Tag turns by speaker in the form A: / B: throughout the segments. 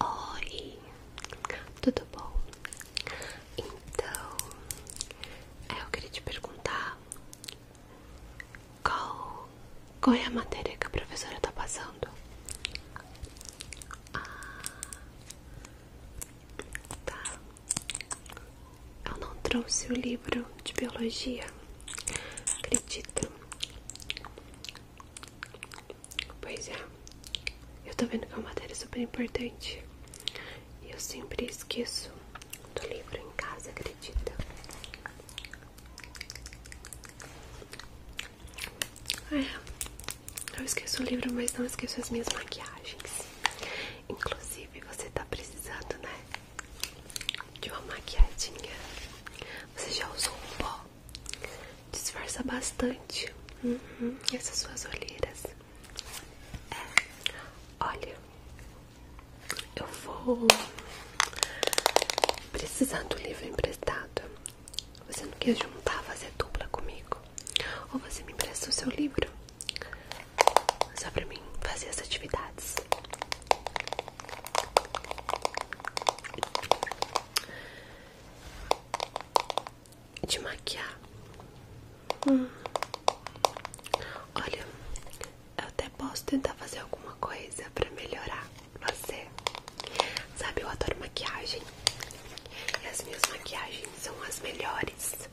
A: Oi, tudo bom? Então, eu queria te perguntar qual, é a matéria que a professora está passando? Ah, tá. Eu não trouxe o livro de biologia. Acredita? Pois é. Eu estou vendo que é uma matéria super importante. E eu sempre esqueço do livro em casa, acredita? É, eu esqueço o livro, mas não esqueço as minhas maquiagens. Inclusive, você tá precisando, né? De uma maquiadinha. Você já usou um pó? Disfarça bastante uhum. essas suas olheiras. É, olha, eu vou precisar do livro emprestado. Você não quer juntar, fazer dupla comigo? Ou você me empresta o seu livro? Só pra mim fazer as atividades. De maquiar. Olha, eu até posso tentar fazer alguma coisa pra melhorar você. Sabe, eu adoro maquiagem. E as minhas maquiagens são as melhores.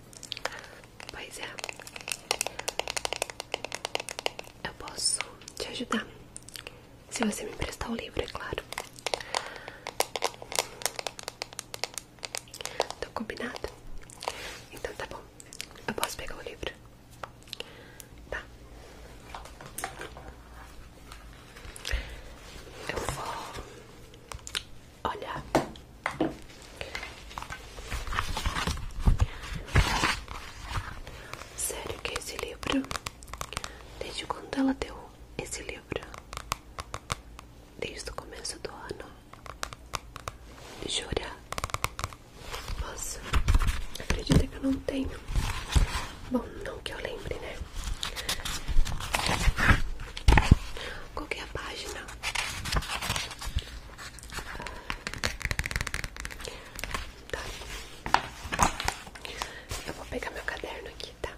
A: Pois é. Eu posso te ajudar. Se você me emprestar o livro, é claro. Tô tá combinado? Então tá bom. Eu posso pegar o livro? Tá. Eu vou olhar. Sério que é esse livro? Desde quando ela deu esse livro? Desde o começo do ano. Jura? Nossa, acredita que eu não tenho. Bom, não que eu lembre, né? Qual que é a página? Tá. Eu vou pegar meu caderno aqui, tá?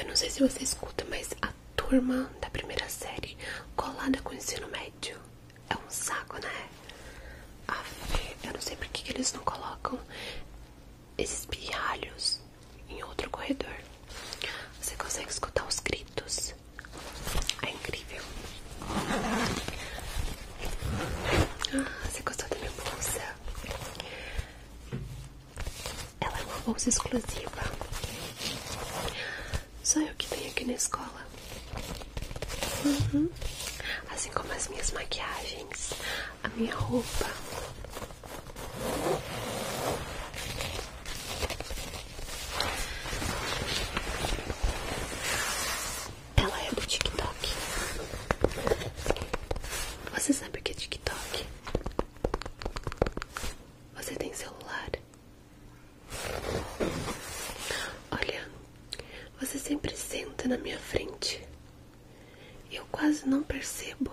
A: Eu não sei se você escuta, mas a turma da primeira série colada com ensino médio. É um saco, né? Aff, eu não sei por que, eles não colocam esses pirralhos em outro corredor. Você consegue escutar os gritos. É incrível. Ah, você gostou da minha bolsa? Ela é uma bolsa exclusiva. Só eu que tenho aqui na escola. Uhum. Assim como as minhas maquiagens, a minha roupa. Ela é do TikTok. Você sabe o que é TikTok? Você tem celular? Olha, você sempre senta na minha frente. Eu quase não percebo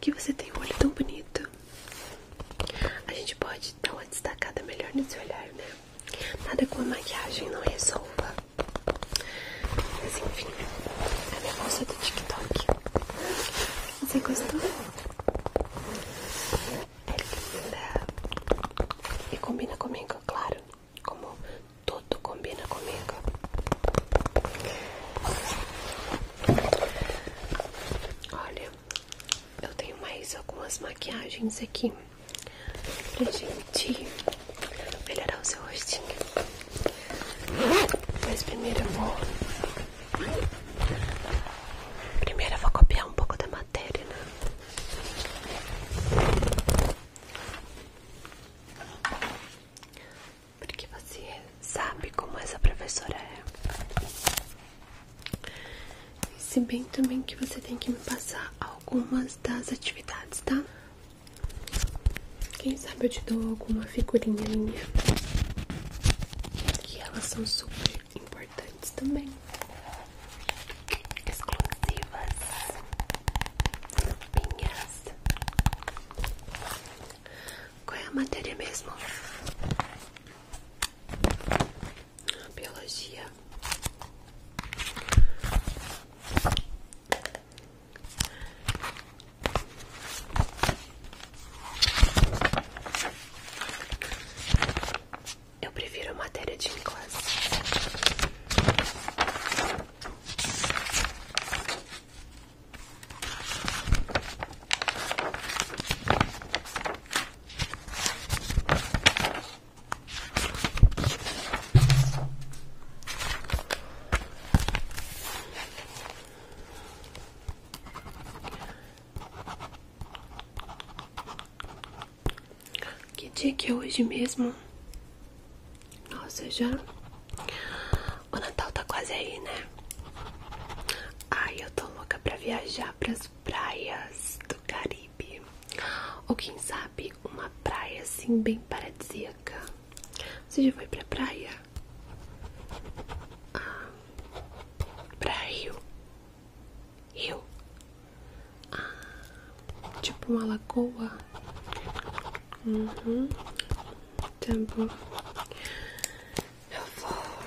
A: que você tem um olho tão bonito. A gente pode dar uma destacada melhor nesse olhar, né? Nada com a maquiagem não resolva. Mas enfim, a minha bolsa do TikTok. Você gostou? É linda. E combina comigo, claro. Como tudo combina comigo. Olha, eu tenho mais algumas maquiagens aqui pra gente melhorar o seu rostinho. Mas primeiro eu vou. Primeiro eu vou copiar um pouco da matéria, né? Porque você sabe como essa professora é. se bem também que você tem que me passar algumas das atividades, tá? Quem sabe eu te dou alguma figurinha minha. Que elas são super importantes também. Exclusivas. Minhas. Qual é a matéria mesmo? Biologia. Eu prefiro matéria de inglês. Que dia que é hoje mesmo? Nossa, já. O Natal tá quase aí, né? Ai, eu tô louca pra viajar pras praias do Caribe. Ou quem sabe, uma praia assim bem paradisíaca. Você já foi pra praia? Ah, pra rio? Rio? Ah, tipo uma lagoa? Uhum, tá Eu vou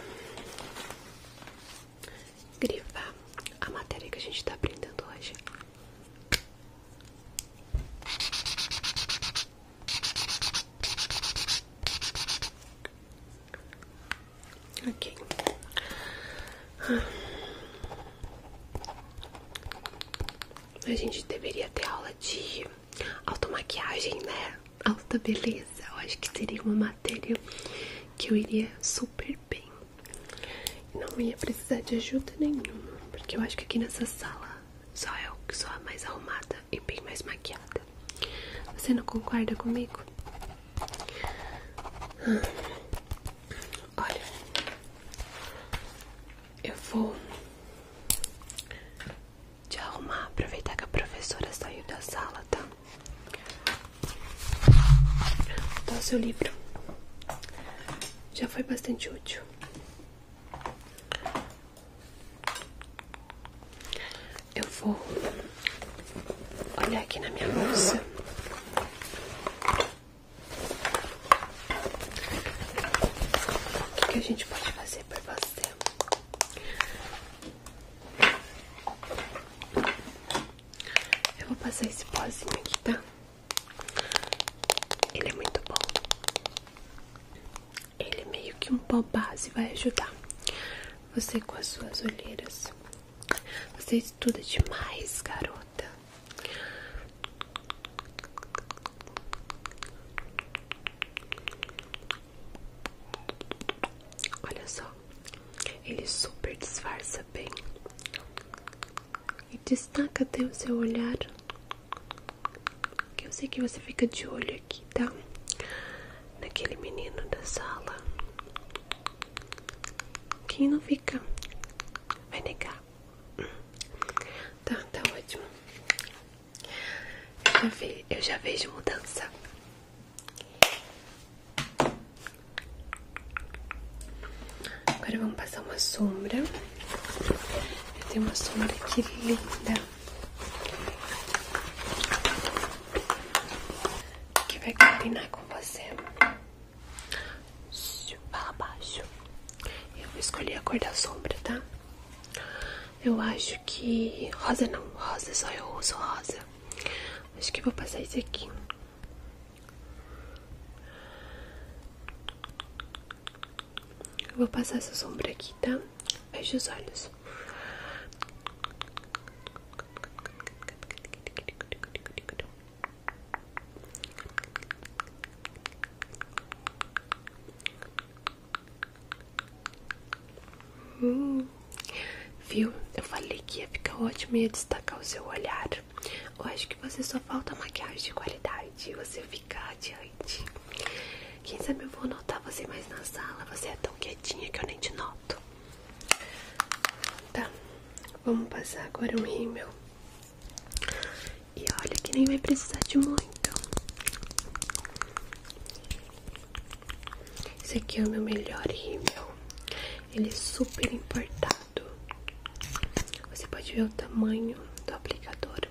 A: grifar a matéria que a gente tá aprendendo hoje. Ok. A gente deveria ter aula de automaquiagem, né? Alta beleza. Eu acho que seria uma matéria que eu iria super bem. Não ia precisar de ajuda nenhuma, porque eu acho que aqui nessa sala só eu que sou a mais arrumada e bem mais maquiada. Você não concorda comigo? Ah. Olha, eu vou te arrumar, aproveitar que a professora saiu da sala, tá? Dá tá, o seu livro. Já foi bastante útil. Eu vou olhar aqui na minha bolsa. O que, a gente pode fazer por você? Eu vou passar esse pozinho aqui, tá? Ele é muito bom. Ele meio que um pó base vai ajudar você com as suas olheiras. Você estuda demais, garota. Olha só, ele super disfarça bem e destaca até o seu olhar que eu sei que você fica de olho aqui, tá? Naquele menino da sala. Quem não fica vai negar. Tá, tá ótimo. Eu já, ve eu já vejo mudança. Agora vamos passar uma sombra. Tem uma sombra aqui linda. Que vai combinar com você. Para abaixo Eu vou escolher a cor da sombra, tá? Eu acho que... Rosa não, rosa, só eu uso rosa. Acho que vou passar isso aqui. Eu vou passar essa sombra aqui, tá? Feche os olhos. Hum. viu? Eu falei que ia ficar ótimo e ia destacar o seu olhar. Eu acho que você só falta maquiagem de qualidade. e Você fica adiante. Quem sabe eu vou notar você mais na sala. Você é tão quietinha que eu nem te noto. Tá, vamos passar agora um rímel. E olha que nem vai precisar de muito. Esse aqui é o meu melhor rímel. Ele é super importado. Você pode ver o tamanho do aplicador.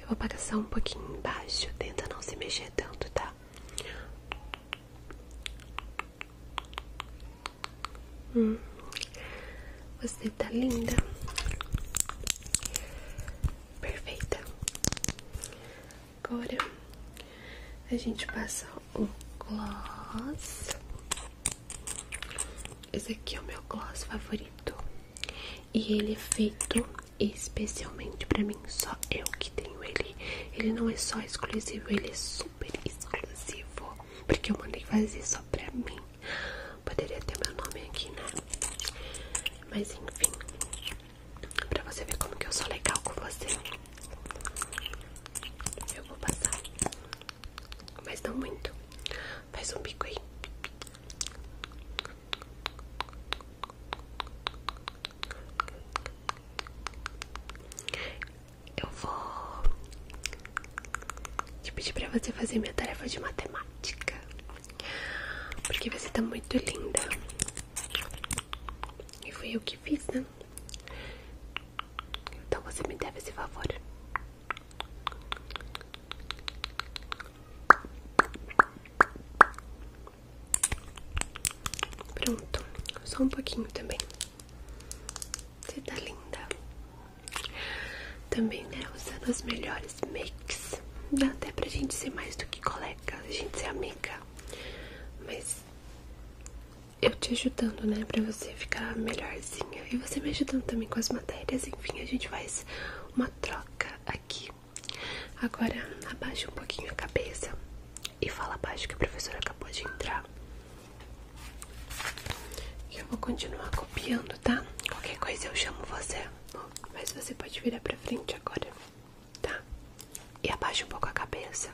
A: Eu vou passar um pouquinho embaixo, tenta não se mexer tanto, tá? Hum. você tá linda, perfeita. Agora a gente passa o gloss. Esse aqui é o meu gloss favorito. E ele é feito especialmente pra mim, só eu que tenho ele. Ele não é só exclusivo, ele é super exclusivo. Porque eu mandei fazer só pra mim. Poderia ter meu nome aqui, né? Mas enfim, pra você ver como que eu sou legal com você. Eu vou passar, mas não muito. Faz um bico aí. Eu vou te pedir pra você fazer minha tarefa de matemática. Porque você tá muito linda. E foi eu que fiz, né? Então você me deve esse favor. Pronto, só um pouquinho também. Você tá linda. Também, né? Usando as melhores makes. Dá até pra gente ser mais do que colega, a gente ser amiga. Mas eu te ajudando, né? Pra você ficar melhorzinha. E você me ajudando também com as matérias. Enfim, a gente faz uma troca aqui. Agora abaixa um pouquinho a cabeça e fala abaixo que o professor acabou de entrar. Eu vou continuar copiando, tá? Qualquer coisa eu chamo você. mas você pode virar pra frente agora, tá? E abaixa um pouco a cabeça.